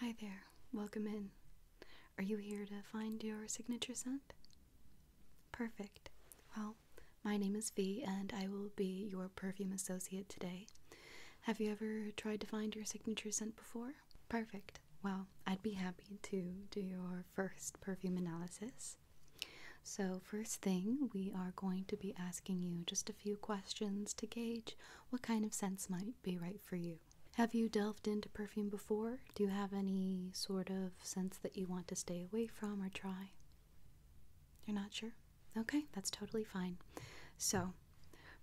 Hi there, welcome in. Are you here to find your signature scent? Perfect. Well, my name is V, and I will be your perfume associate today. Have you ever tried to find your signature scent before? Perfect. Well, I'd be happy to do your first perfume analysis. So, first thing, we are going to be asking you just a few questions to gauge what kind of scents might be right for you. Have you delved into perfume before? Do you have any sort of sense that you want to stay away from or try? You're not sure? Okay, that's totally fine. So,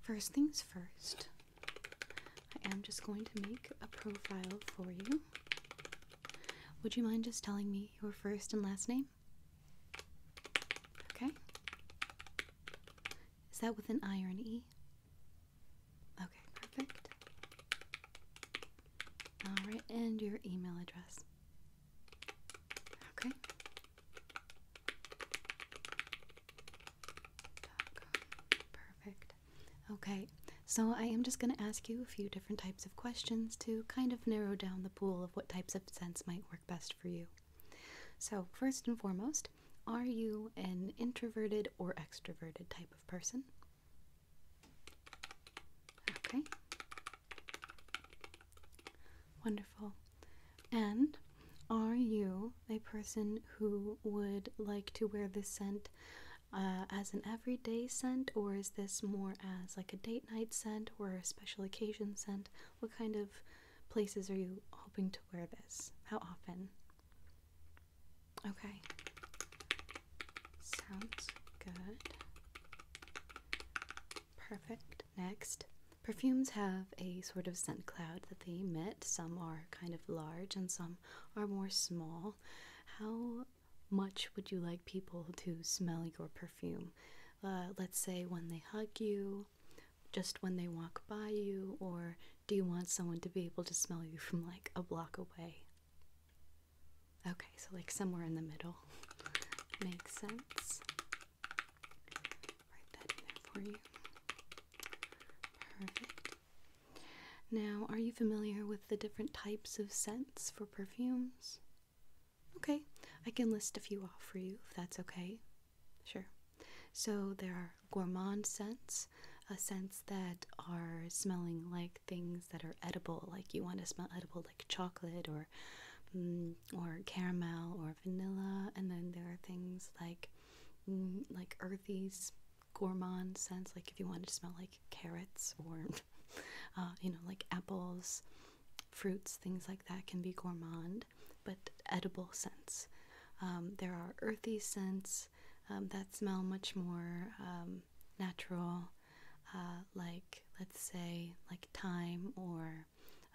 first things first, I am just going to make a profile for you. Would you mind just telling me your first and last name? Okay. Is that with an I or an E? Okay, perfect. Alright, and your email address. Okay. Perfect. Okay, so I am just going to ask you a few different types of questions to kind of narrow down the pool of what types of scents might work best for you. So, first and foremost, are you an introverted or extroverted type of person? Okay. Wonderful. And are you a person who would like to wear this scent uh, as an everyday scent, or is this more as like a date night scent or a special occasion scent? What kind of places are you hoping to wear this? How often? Okay. Sounds good. Perfect. Next, perfumes have a sort of scent cloud that they emit. Some are kind of large and some are more small. How much would you like people to smell your perfume? Uh, let's say when they hug you, just when they walk by you, or do you want someone to be able to smell you from like a block away? Okay, so like somewhere in the middle makes sense. Write that in for you. Perfect. Now, are you familiar with the different types of scents for perfumes? Okay, I can list a few off for you if that's okay. Sure. So there are gourmand scents, uh, scents that are smelling like things that are edible, like you want to smell edible, like chocolate or mm, or caramel or vanilla. And then there are things like mm, like earthy gourmand scents, like if you want to smell like carrots or uh, you know like apples, fruits, things like that can be gourmand but edible scents. Um, there are earthy scents um, that smell much more um, natural, uh, like let's say like thyme or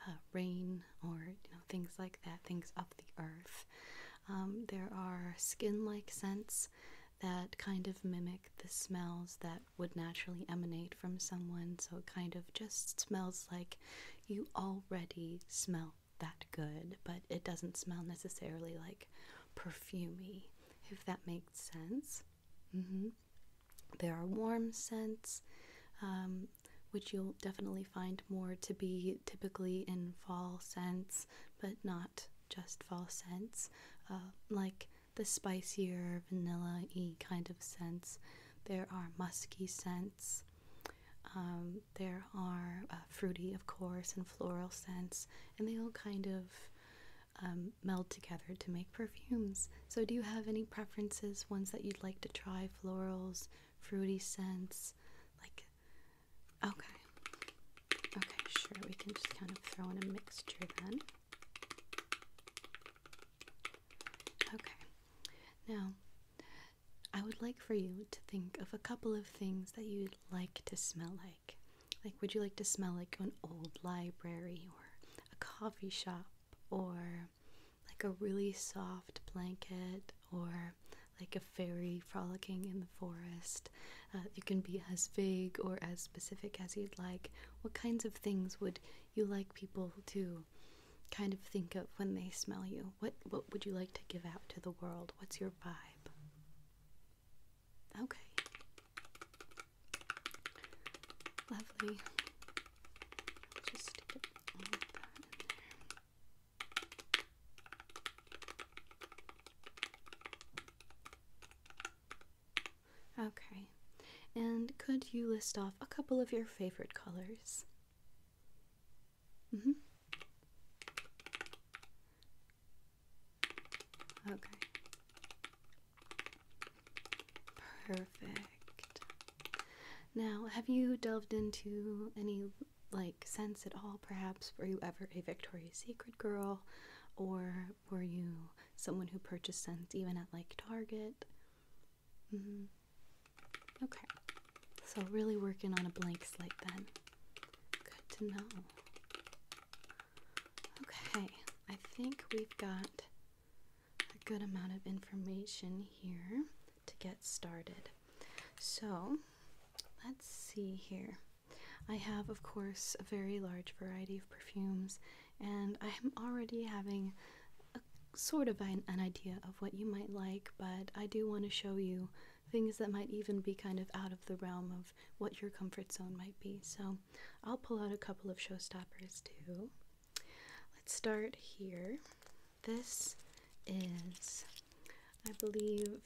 uh, rain or things like that, things of the earth. there are skin-like scents that kind of mimic the smells that would naturally emanate from someone, so it kind of just smells like you already smell that good, but it doesn't smell necessarily like perfumy, if that makes sense. Mm-hmm. There are warm scents, um, which you'll definitely find more to be typically in fall scents, but not just fall scents, uh, like the spicier vanilla y kind of scents. There are musky scents. Um, there are uh, fruity, of course, and floral scents, and they all kind of um, meld together to make perfumes. So, do you have any preferences? Ones that you'd like to try? Florals, fruity scents, like okay, okay, sure. We can just kind of throw in a mixture then. Okay, now I would like for you to think of a couple of things that you'd like to smell like. Like, would you like to smell like an old library or a coffee shop or like a really soft blanket or like a fairy frolicking in the forest? Uh, you can be as vague or as specific as you'd like. What kinds of things would you like people to kind of think of when they smell you. What what would you like to give out to the world? What's your vibe? Okay. Lovely. Just stick all that in there. Okay, and could you list off a couple of your favorite colors? Mm -hmm. Okay. Perfect. Now, have you delved into any like sense at all? Perhaps were you ever a Victoria's Secret girl, or were you someone who purchased scents even at like Target? Mm-hmm. Okay, so really working on a blank slate then. Good to know. Okay, I think we've got a good amount of information here to get started. So let's see here. I have, of course, a very large variety of perfumes, and I am already having sort of an, idea of what you might like, but I do want to show you things that might even be kind of out of the realm of what your comfort zone might be. So I'll pull out a couple of showstoppers too. Let's start here. This is, I believe,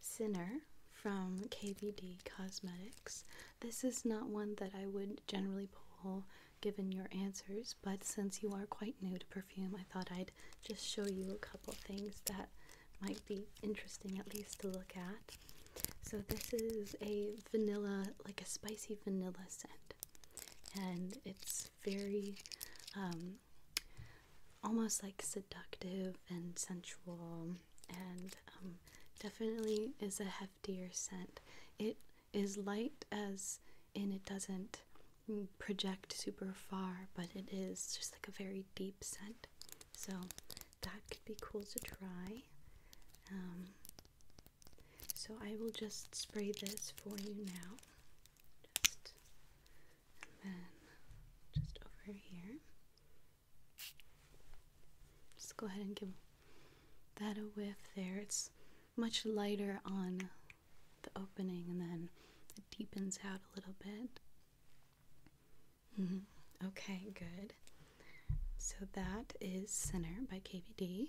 Sinner from KVD Cosmetics. This is not one that I would generally pull given your answers, but since you are quite new to perfume, I thought I'd just show you a couple things that might be interesting at least to look at. So, this is a vanilla, like a spicy vanilla scent, and it's very um, almost like seductive and sensual, and um, definitely is a heftier scent. It is light as in it doesn't project super far, but it is just like a very deep scent. So that could be cool to try. Um, so I will just spray this for you now. Just and then just over here. Just go ahead and give that a whiff there. It's much lighter on the opening and then it deepens out a little bit. Mm-hmm. Okay, good. So that is Center by KVD.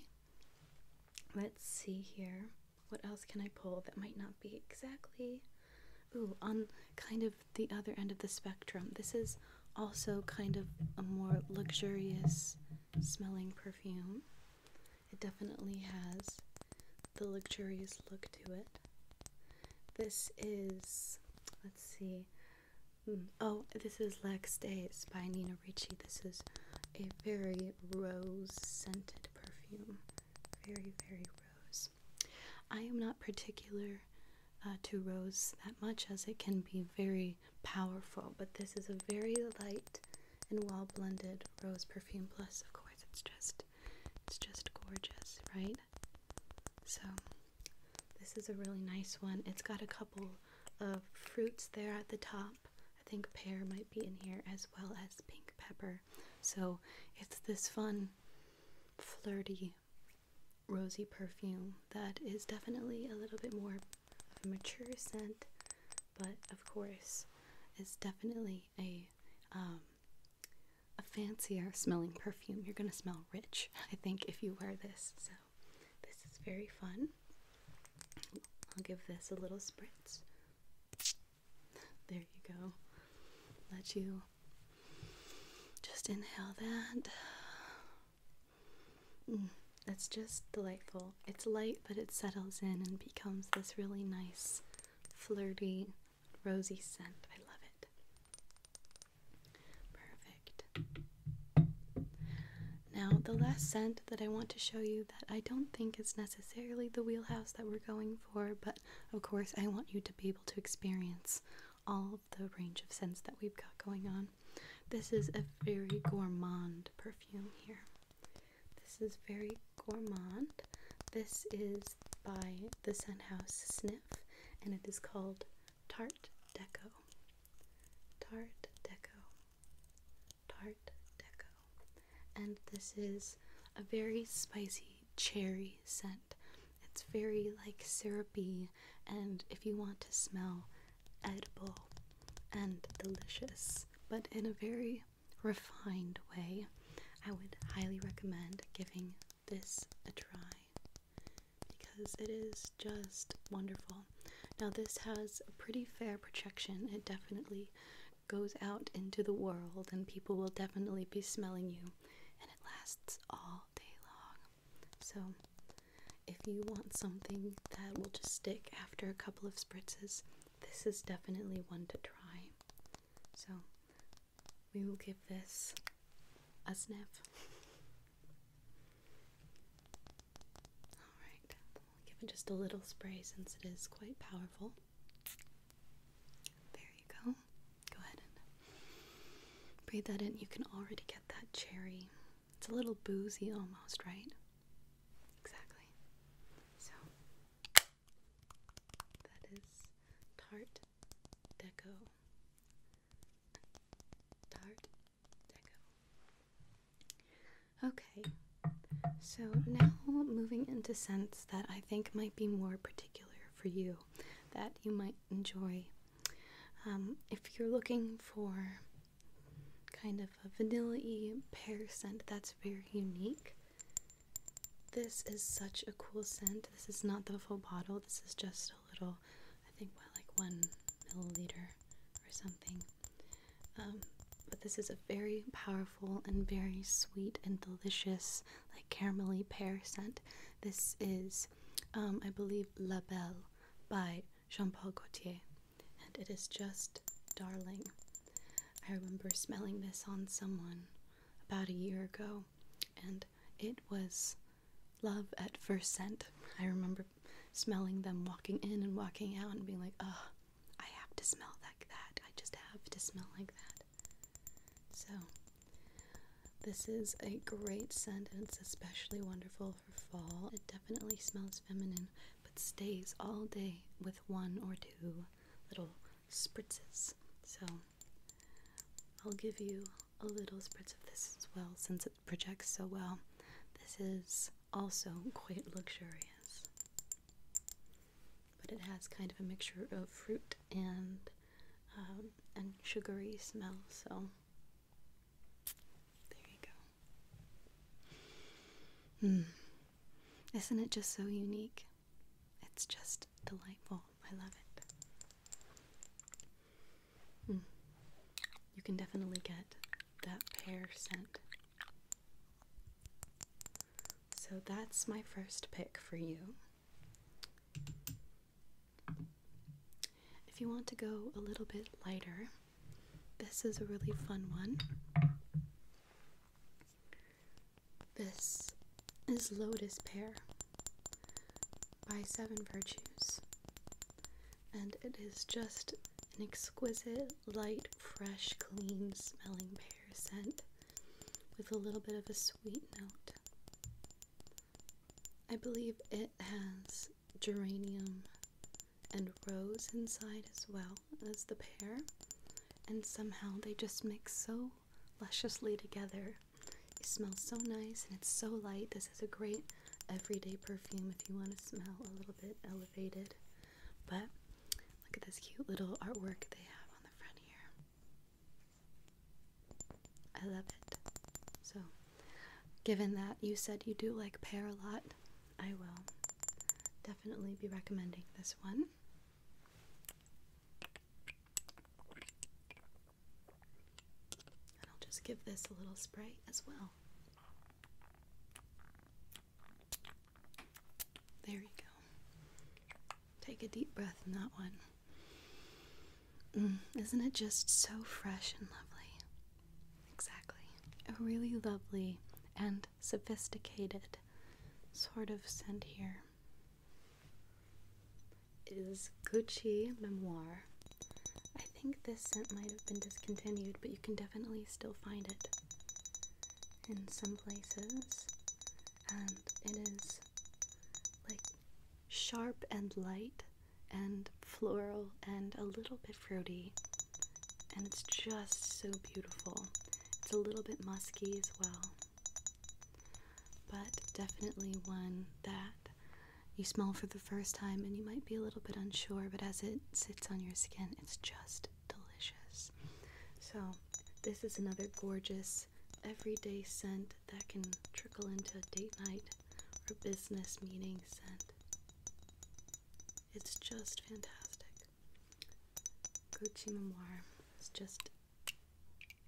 Let's see here. What else can I pull that might not be exactly. Ooh, on kind of the other end of the spectrum. This is also kind of a more luxurious smelling perfume. It definitely has the luxurious look to it. This is, let's see, mm, oh, this is Lex Days by Nina Ricci. This is a very rose scented perfume. Very, very rose. I am not particular uh, to rose that much as it can be very powerful, but this is a very light and well blended rose perfume plus of course it's just it's just gorgeous right so this is a really nice one it's got a couple of fruits there at the top i think pear might be in here as well as pink pepper so it's this fun flirty rosy perfume that is definitely a little bit more a mature scent, but of course, it's definitely a um, a fancier smelling perfume. You're gonna smell rich, I think, if you wear this. So this is very fun. I'll give this a little spritz. There you go. Let you just inhale that. Mm. That's just delightful. It's light, but it settles in and becomes this really nice, flirty, rosy scent. I love it. Perfect. Now, the last scent that I want to show you that I don't think is necessarily the wheelhouse that we're going for, but of course, I want you to be able to experience all of the range of scents that we've got going on. This is a very gourmand perfume here. This is very gourmand. This is by the House Sniff, and it is called Tart Deco. Tart Deco. Tart Deco. And this is a very spicy cherry scent. It's very like syrupy, and if you want to smell edible, and delicious, but in a very refined way. I would highly recommend giving this a try because it is just wonderful. Now, this has a pretty fair projection, it definitely goes out into the world, and people will definitely be smelling you, and it lasts all day long. So, if you want something that will just stick after a couple of spritzes, this is definitely one to try. So we will give this a sniff. Alright, give it just a little spray since it is quite powerful. There you go. Go ahead and breathe that in. You can already get that cherry. It's a little boozy almost, right? Exactly. So that is Tarte Deco. Tarte Deco. Okay. So now moving into scents that I think might be more particular for you, that you might enjoy. Um, if you're looking for kind of a vanilla-y pear scent that's very unique. This is such a cool scent. This is not the full bottle. This is just a little, I think, what, like one milliliter or something. Um, but this is a very powerful and very sweet and delicious, like caramel caramelly pear scent. This is, um, I believe, La Belle by Jean Paul Gaultier, and it is just darling. I remember smelling this on someone about a year ago, and it was love at first scent. I remember smelling them walking in and walking out and being like, oh, I have to smell like that. I just have to smell like that. So, this is a great scent and it's especially wonderful for fall. It definitely smells feminine, but stays all day with one or two little spritzes. So I'll give you a little spritz of this as well since it projects so well. This is also quite luxurious, but it has kind of a mixture of fruit and um, and sugary smell. So there you go. Hmm. Isn't it just so unique? It's just delightful. I love it. Hmm. You can definitely get that pear scent. So that's my first pick for you. If you want to go a little bit lighter, this is a really fun one. This is Lotus Pear by Seven Virtues. And it is just an exquisite, light, fresh, clean smelling pear scent with a little bit of a sweet note. I believe it has geranium and rose inside as well as the pear, and somehow they just mix so lusciously together. It smells so nice and it's so light. This is a great everyday perfume if you want to smell a little bit elevated. But look at this cute little artwork they have on the front here. I love it. So, given that you said you do like pear a lot, I will definitely be recommending this one. I'll just give this a little spray as well. There you go. Take a deep breath in that one. Mm, isn't it just so fresh and lovely? Exactly. A really lovely and sophisticated sort of scent Here is Gucci Memoir. I think this scent might have been discontinued, but you can definitely still find it in some places. And it is like sharp and light and floral and a little bit fruity and it's just so beautiful. It's a little bit musky as well, but definitely one that you smell for the first time and you might be a little bit unsure, but as it sits on your skin, it's just delicious. So, this is another gorgeous everyday scent that can trickle into a date night or business meeting scent. It's just fantastic. Gucci Memoir is just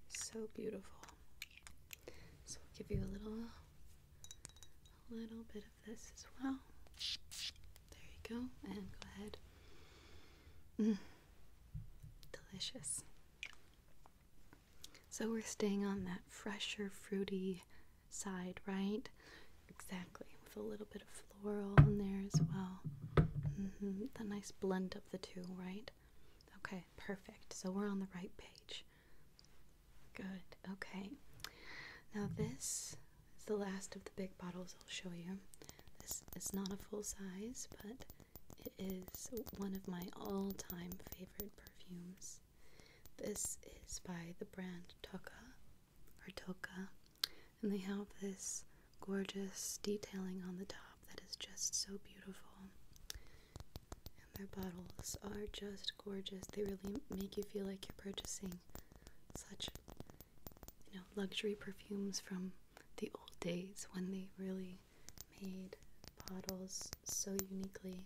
so beautiful. So I'll give you a little a little bit of this as well. There you go. And go ahead. Mm. Delicious. So we're staying on that fresher, fruity side, right? Exactly, with a little bit of floral in there as well. Mm The nice blend of the two, right? Okay, perfect. So we're on the right page. Good, okay. Now, this is the last of the big bottles I'll show you. This is not a full size, but it is one of my all time favorite perfumes. This is by the brand Tucca or toca, and they have this gorgeous detailing on the top that is just so beautiful. And their bottles are just gorgeous. They really make you feel like you're purchasing such, you know, luxury perfumes from the old days when they really made bottles so uniquely.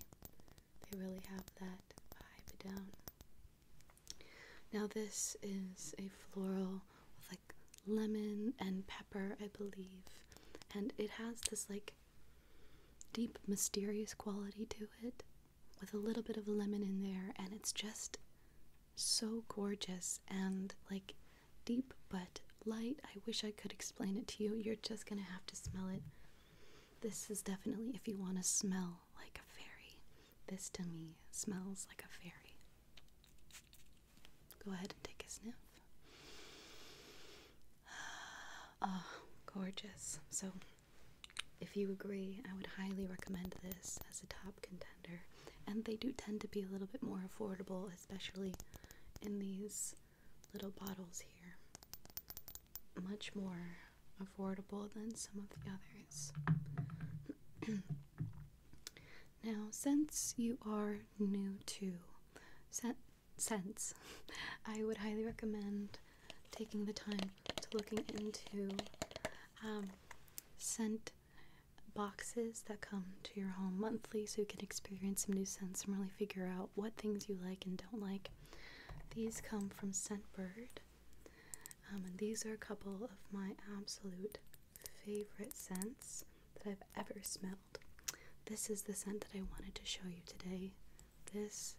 They really have that vibe down. Now, this is a floral with like lemon and pepper, I believe, and it has this like deep, mysterious quality to it with a little bit of lemon in there, and it's just so gorgeous and like deep but light. I wish I could explain it to you. You're just gonna have to smell it. This is definitely if you want to smell like a fairy. This to me smells like a fairy. Go ahead and take a sniff. Oh, gorgeous. So, if you agree, I would highly recommend this as a top contender. And they do tend to be a little bit more affordable, especially in these little bottles here much more affordable than some of the others. now, since you are new to scents, I would highly recommend taking the time to looking into um, scent boxes that come to your home monthly so you can experience some new scents and really figure out what things you like and don't like. These come from Scentbird um, and these are a couple of my absolute favorite scents that I've ever smelled. This is the scent that I wanted to show you today. This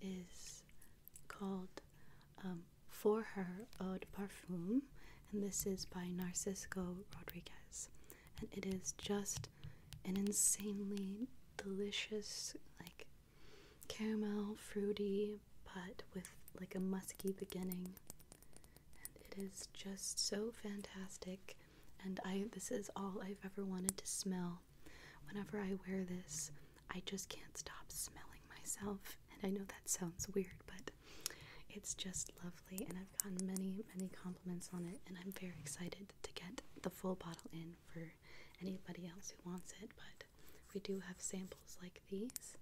is called um, For Her Eau de Parfum, and this is by Narciso Rodriguez. And it is just an insanely delicious, like caramel, fruity, but with like a musky beginning. And it is just so fantastic. And I this is all I've ever wanted to smell. Whenever I wear this, I just can't stop smelling myself. And I know that sounds weird, but it's just lovely and I've gotten many, many compliments on it and I'm very excited to get the full bottle in for anybody else who wants it, but we do have samples like these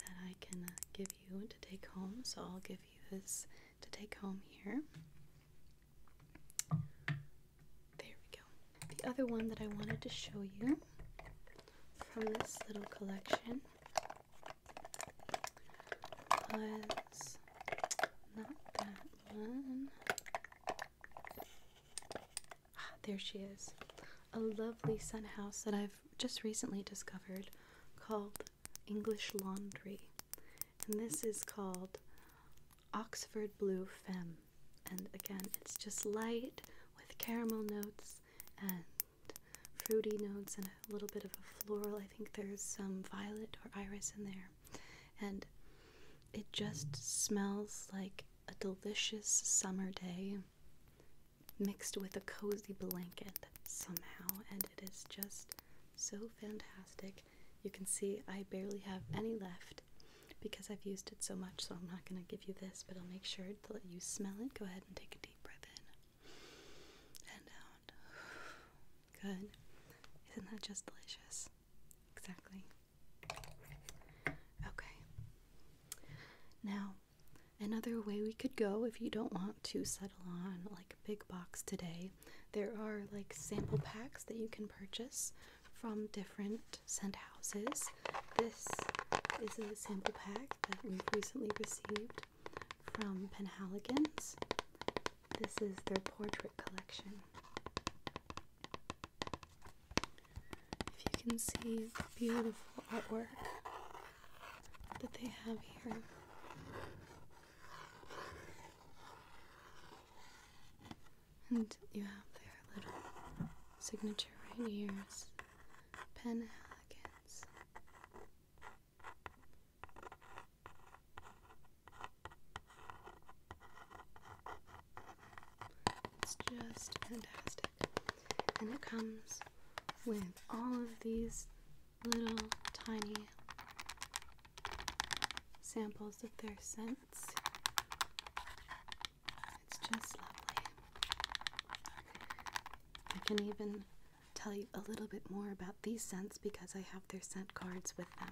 that I can uh, give you to take home. So I'll give you this to take home here. There we go. The other one that I wanted to show you from this little collection was not that one. Ah, there she is. A lovely sun house that I've just recently discovered called English Laundry. And this is called Oxford Blue Femme. And again, it's just light with caramel notes and fruity notes and a little bit of a floral. I think there's some violet or iris in there. And it just smells like a delicious summer day mixed with a cozy blanket somehow, and it is just so fantastic. You can see I barely have any left because I've used it so much, so I'm not going to give you this, but I'll make sure to let you smell it. Go ahead and take a deep breath in and out. Good. Isn't that just delicious? Exactly. Okay. Now, another way we could go if you don't want to settle on like big box today, there are like sample packs that you can purchase from different scent houses. This is a sample pack that we've recently received from Penhaligans. This is their portrait collection. If you can see the beautiful artwork that they have here. And you have their little signature right here, Pen Elegance. It's just fantastic. And it comes with all of these little tiny samples of their scents. It's just lovely. I can even tell you a little bit more about these scents because I have their scent cards with them.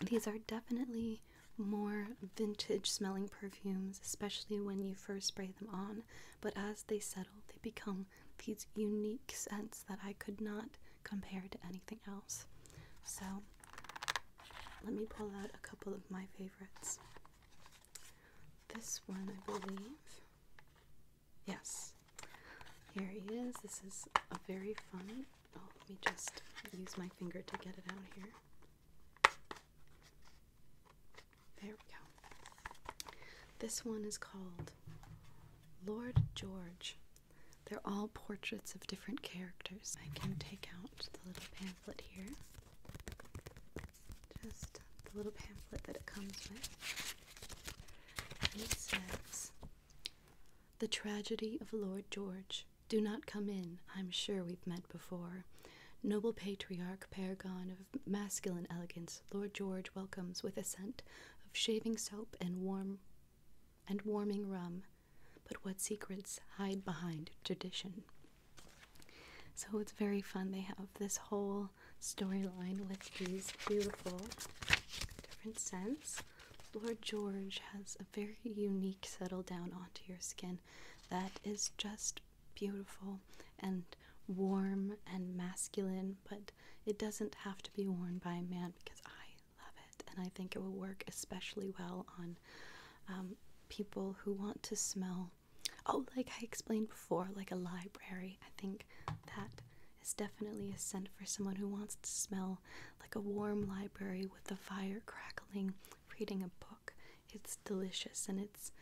These are definitely more vintage smelling perfumes, especially when you first spray them on, but as they settle, they become these unique scents that I could not compare to anything else. So, let me pull out a couple of my favorites. This one, I believe. Yes. Here he is. This is a very fun Oh, let me just use my finger to get it out here. There we go. This one is called Lord George. They're all portraits of different characters. I can take out the little pamphlet here. Just the little pamphlet that it comes with. it says the tragedy of Lord George. Do not come in. I'm sure we've met before. Noble patriarch, paragon of masculine elegance, Lord George welcomes with a scent of shaving soap and warm and warming rum. But what secrets hide behind tradition? So it's very fun. They have this whole storyline with these beautiful different scents. Lord George has a very unique settle down onto your skin that is just beautiful and warm and masculine, but it doesn't have to be worn by a man because I love it and I think it will work especially well on um, people who want to smell. Oh, like I explained before, like a library. I think that is definitely a scent for someone who wants to smell like a warm library with the fire crackling, reading a book. It's delicious and it's.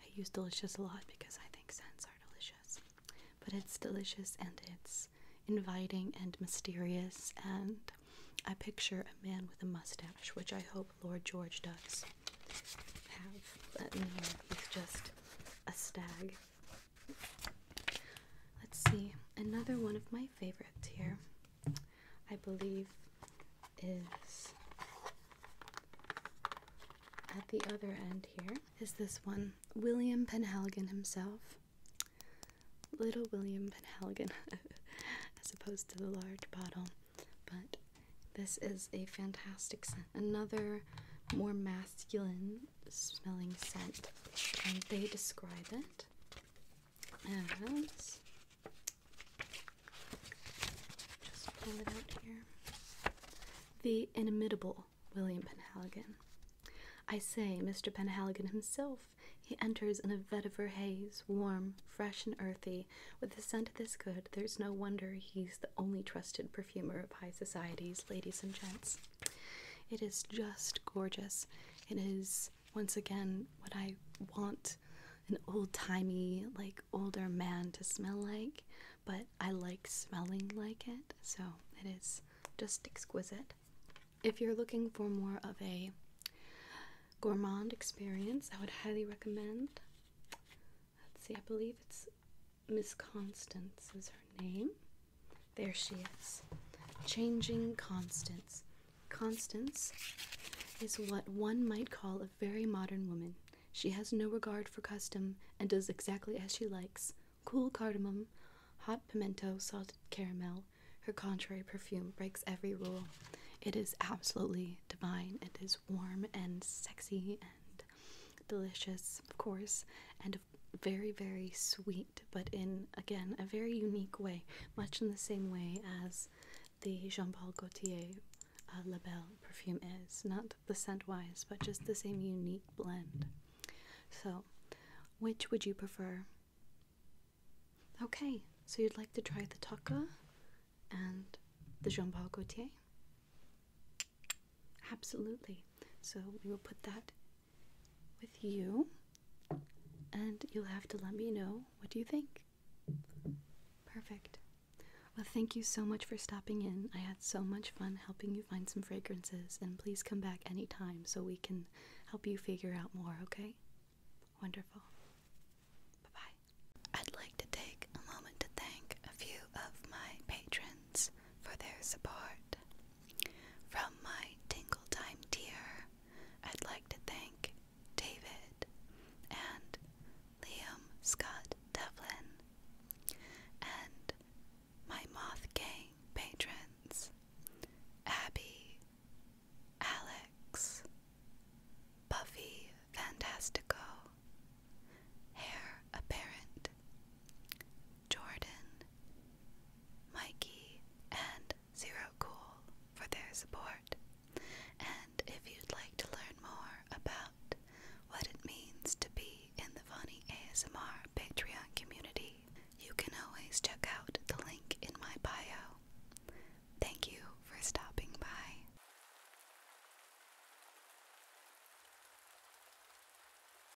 I use delicious a lot because I think scents are delicious. But it's delicious and it's inviting and mysterious, and I picture a man with a mustache, which I hope Lord George does have. But no, he's just a stag Let's see, another one of my favorites here, I believe, is at the other end here, is this one William Penhaligon himself. Little William Penhaligon, as opposed to the large bottle. But this is a fantastic scent. Another more masculine smelling scent, and they describe it as. Just pull it out here. The inimitable William Penhaligon. I say, Mr. Penhaligon himself. He enters in a vetiver haze, warm, fresh, and earthy. With a scent this good, there's no wonder he's the only trusted perfumer of high society's ladies and gents. It is just gorgeous. It is once again what I want an old-timey, like older man to smell like, but I like smelling like it. So, it is just exquisite. If you're looking for more of a gourmand experience, I would highly recommend. Let's see, I believe it's Miss Constance is her name. There she is. Changing Constance. Constance is what one might call a very modern woman. She has no regard for custom and does exactly as she likes. Cool cardamom, hot pimento, salted caramel. Her contrary perfume breaks every rule. It is absolutely divine. It is warm and sexy and delicious, of course, and very, very sweet, but in again a very unique way, much in the same way as the Jean Paul Gaultier uh, Label perfume is. Not the scent wise, but just the same unique blend. So, which would you prefer? Okay, so you'd like to try the Taka and the Jean Paul Gaultier? Absolutely. So we will put that with you, and you'll have to let me know what do you think. Perfect. Well, thank you so much for stopping in. I had so much fun helping you find some fragrances, and please come back anytime so we can help you figure out more, okay? Wonderful. Bye bye. I'd like to take a moment to thank a few of my patrons for their support. From my Tingle Time tier, I'd like to thank David and Liam Scott Devlin and my Moth Gang patrons Abby, Alex, Buffy Fantastico, Hair Apparent, Jordan, Mikey, and Zero Cool for their support. And if you'd like to learn more about what it means to be in the Funny ASMR Patreon community, you can always check out the link in my bio. Thank you for stopping by.